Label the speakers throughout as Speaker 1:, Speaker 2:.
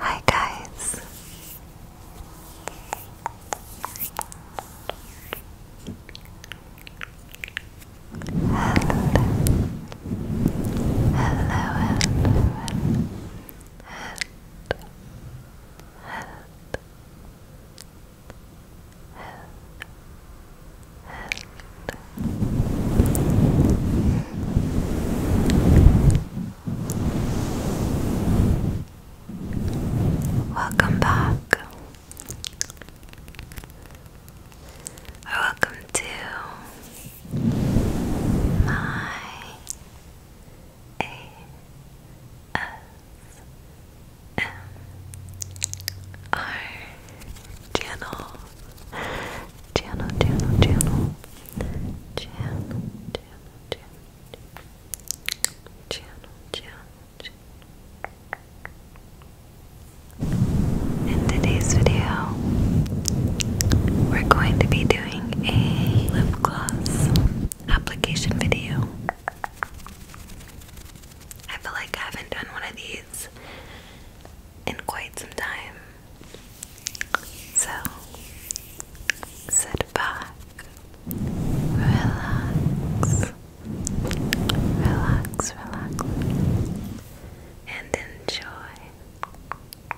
Speaker 1: Hi, guys. Hello, hello, head, head, head, head. Welcome back. welcome to my A S M R channel channel channel channel channel channel channel channel channel in today's video, we're going to be doing a lip gloss application video. I feel like I haven't done one of these in quite some time. So, sit back, relax, relax, relax, and enjoy.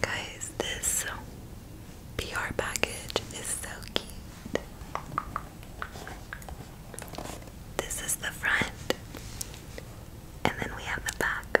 Speaker 1: Guys, this PR package is so cute. This is the front, and then we have the back.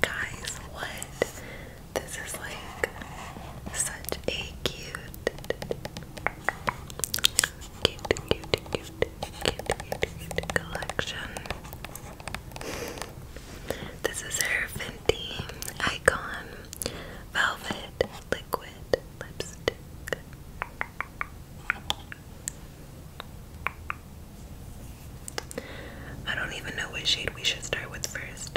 Speaker 1: Guys, what? This is like such a cute, cute, cute, cute, cute, cute, cute collection. This is her Fenty Icon Velvet liquid lipstick. I don't even know what shade we should start with first.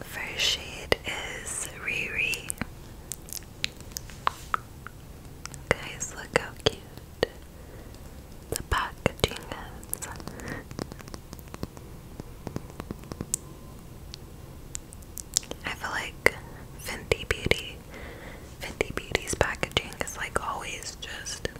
Speaker 1: First shade is Riri. Guys, look how cute the packaging is. I feel like Fenty Beauty, Fenty Beauty's packaging is like always just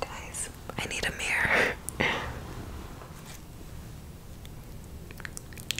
Speaker 1: Guys, I need a mirror.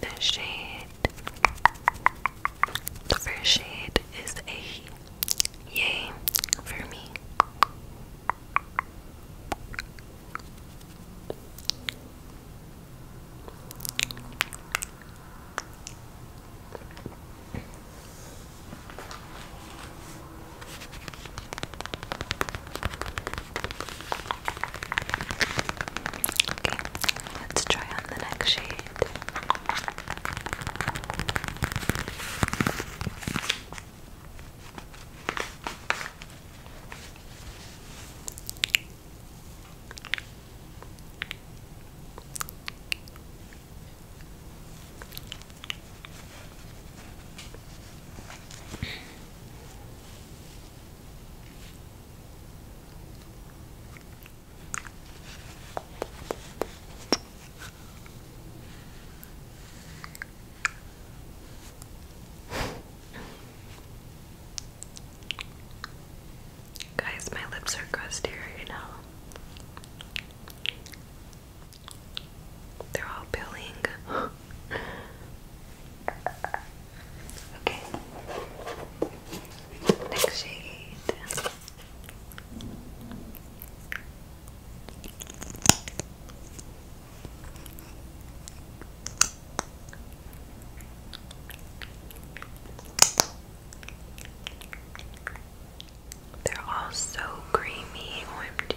Speaker 1: The shade, the first shade is a yay for me let's try on the next shade. Guys, my lips are crustier, you know. They're all building. okay. Next shade. They're all so creamy, OMG.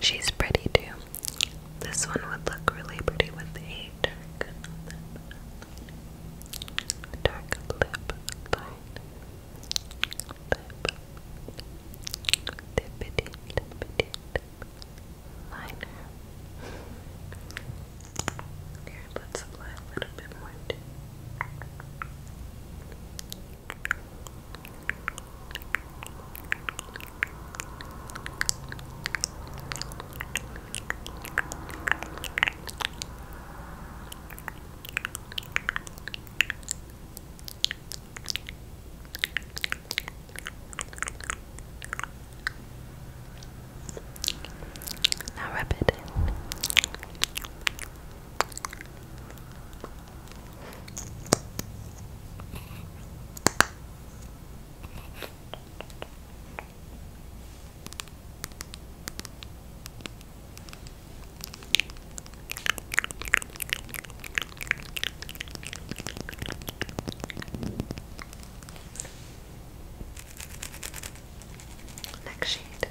Speaker 1: She's pretty too. This one would look really pretty with a dark, dark lip line. Lip, dippity, dippity, dip liner. Here, let's apply a little bit more. Too. Now rub it in. Next shade.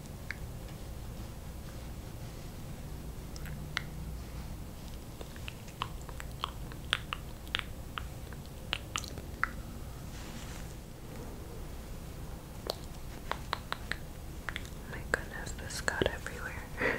Speaker 1: my goodness, this got everywhere.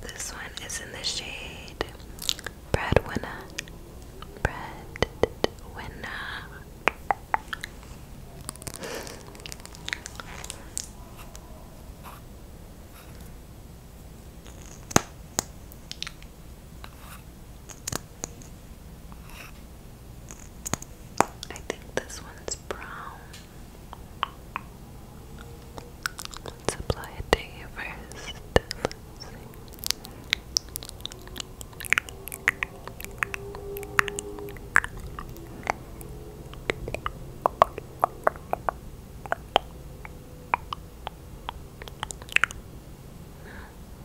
Speaker 1: This one is in the shade Breadwinner. Breadwinner. I think this one's brown. Let's apply it to you 1st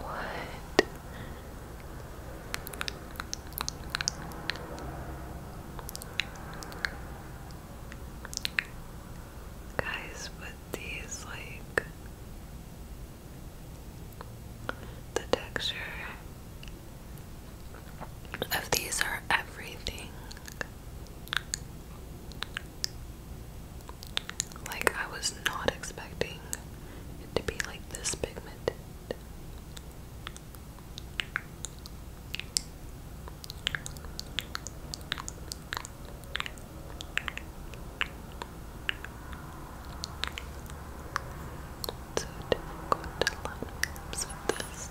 Speaker 1: What? Guys, but these like the texture of these are everything. Like, I was not expecting it to be like this pigmented. so difficult to line this.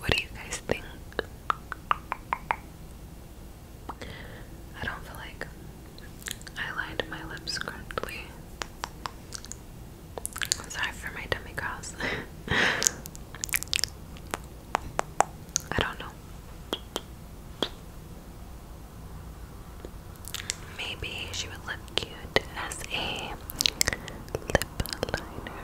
Speaker 1: What do you guys think? I don't feel like I lined my lips correctly. Sorry for my tummy growls. I don't know. Maybe she would look cute as a Lip liner.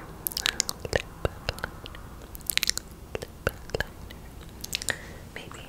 Speaker 1: Maybe.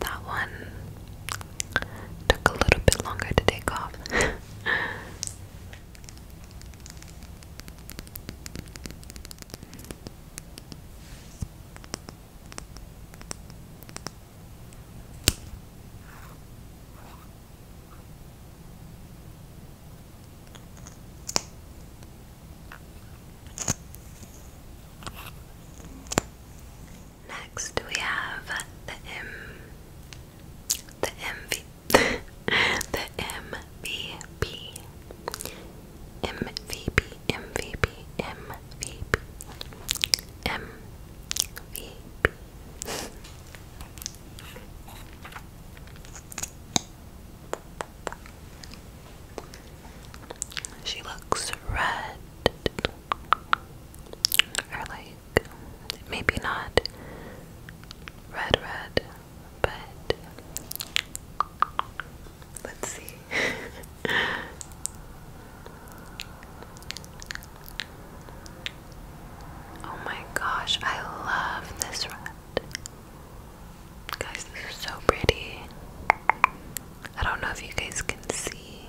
Speaker 1: That one took a little bit longer to take off. Next, we have the M, the MV, the M MVP. MVP, MVP, MVP, MVP. She looks red, or like maybe not red, red, but let's see. oh my gosh, I love this red. Guys, this is so pretty. I don't know if you guys can see.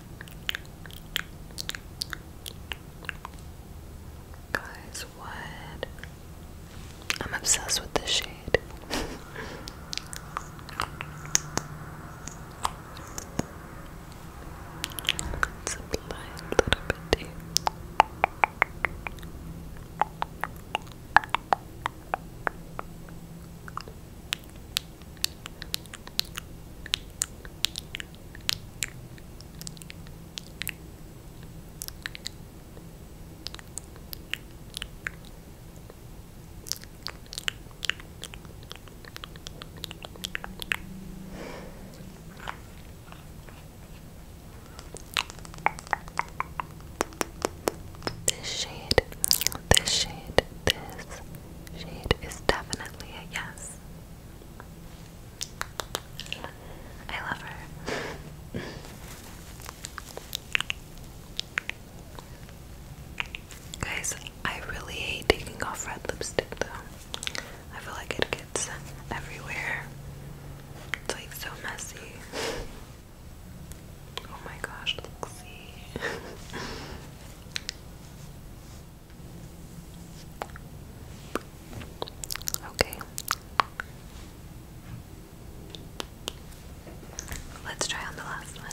Speaker 1: Guys, what? I'm obsessed with this shade. let a little bit here. This shade, this shade, this she is definitely a yes. I love her. Guys, I really hate taking off red lipstick though. I feel like it gets everywhere. It's like so messy. Oh my gosh, look, see. Okay. Let's try on the last one.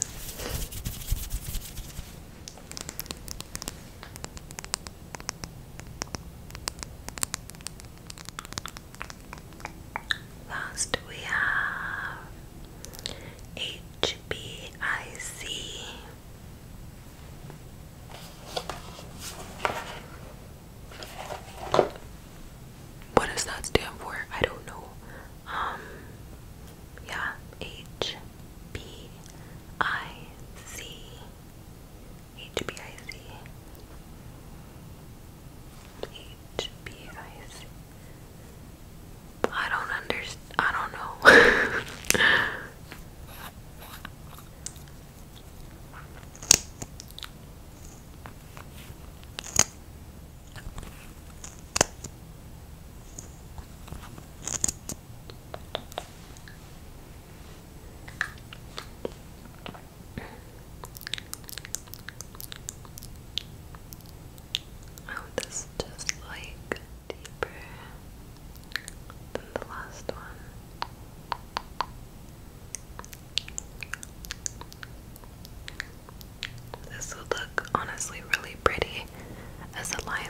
Speaker 1: Last we have eight HBIC. What does that stand for? I don't know. Um, yeah, H B I C. H B I C. H B I C. I don't understand. I don't know. Oh, this is just like deeper than the last one. This would look honestly really pretty as a liner.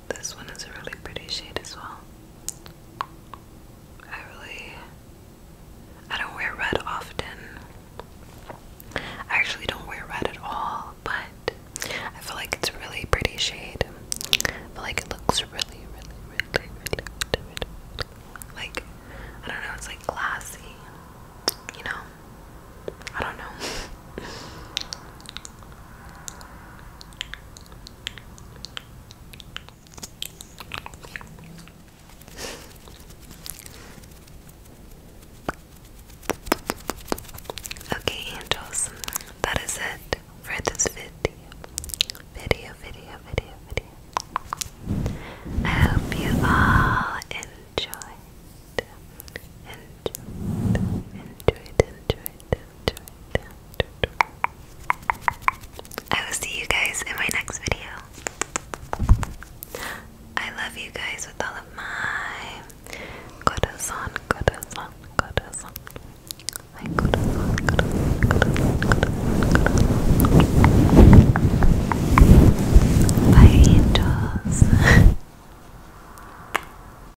Speaker 1: This one is a really pretty shade as well. I really I don't wear red often. I actually don't wear red at all, but I feel like it's a really pretty shade. I feel like it looks really, really, really, really, really, like I don't know, it's like glassy. You know? I don't know. Okay, angels, that is it for this video. Video, video, video, video. I hope you all enjoyed, enjoyed, enjoyed, enjoyed I will see you guys in my next video. I love you guys with all of my corazón, corazón, corazón. Bye, angels.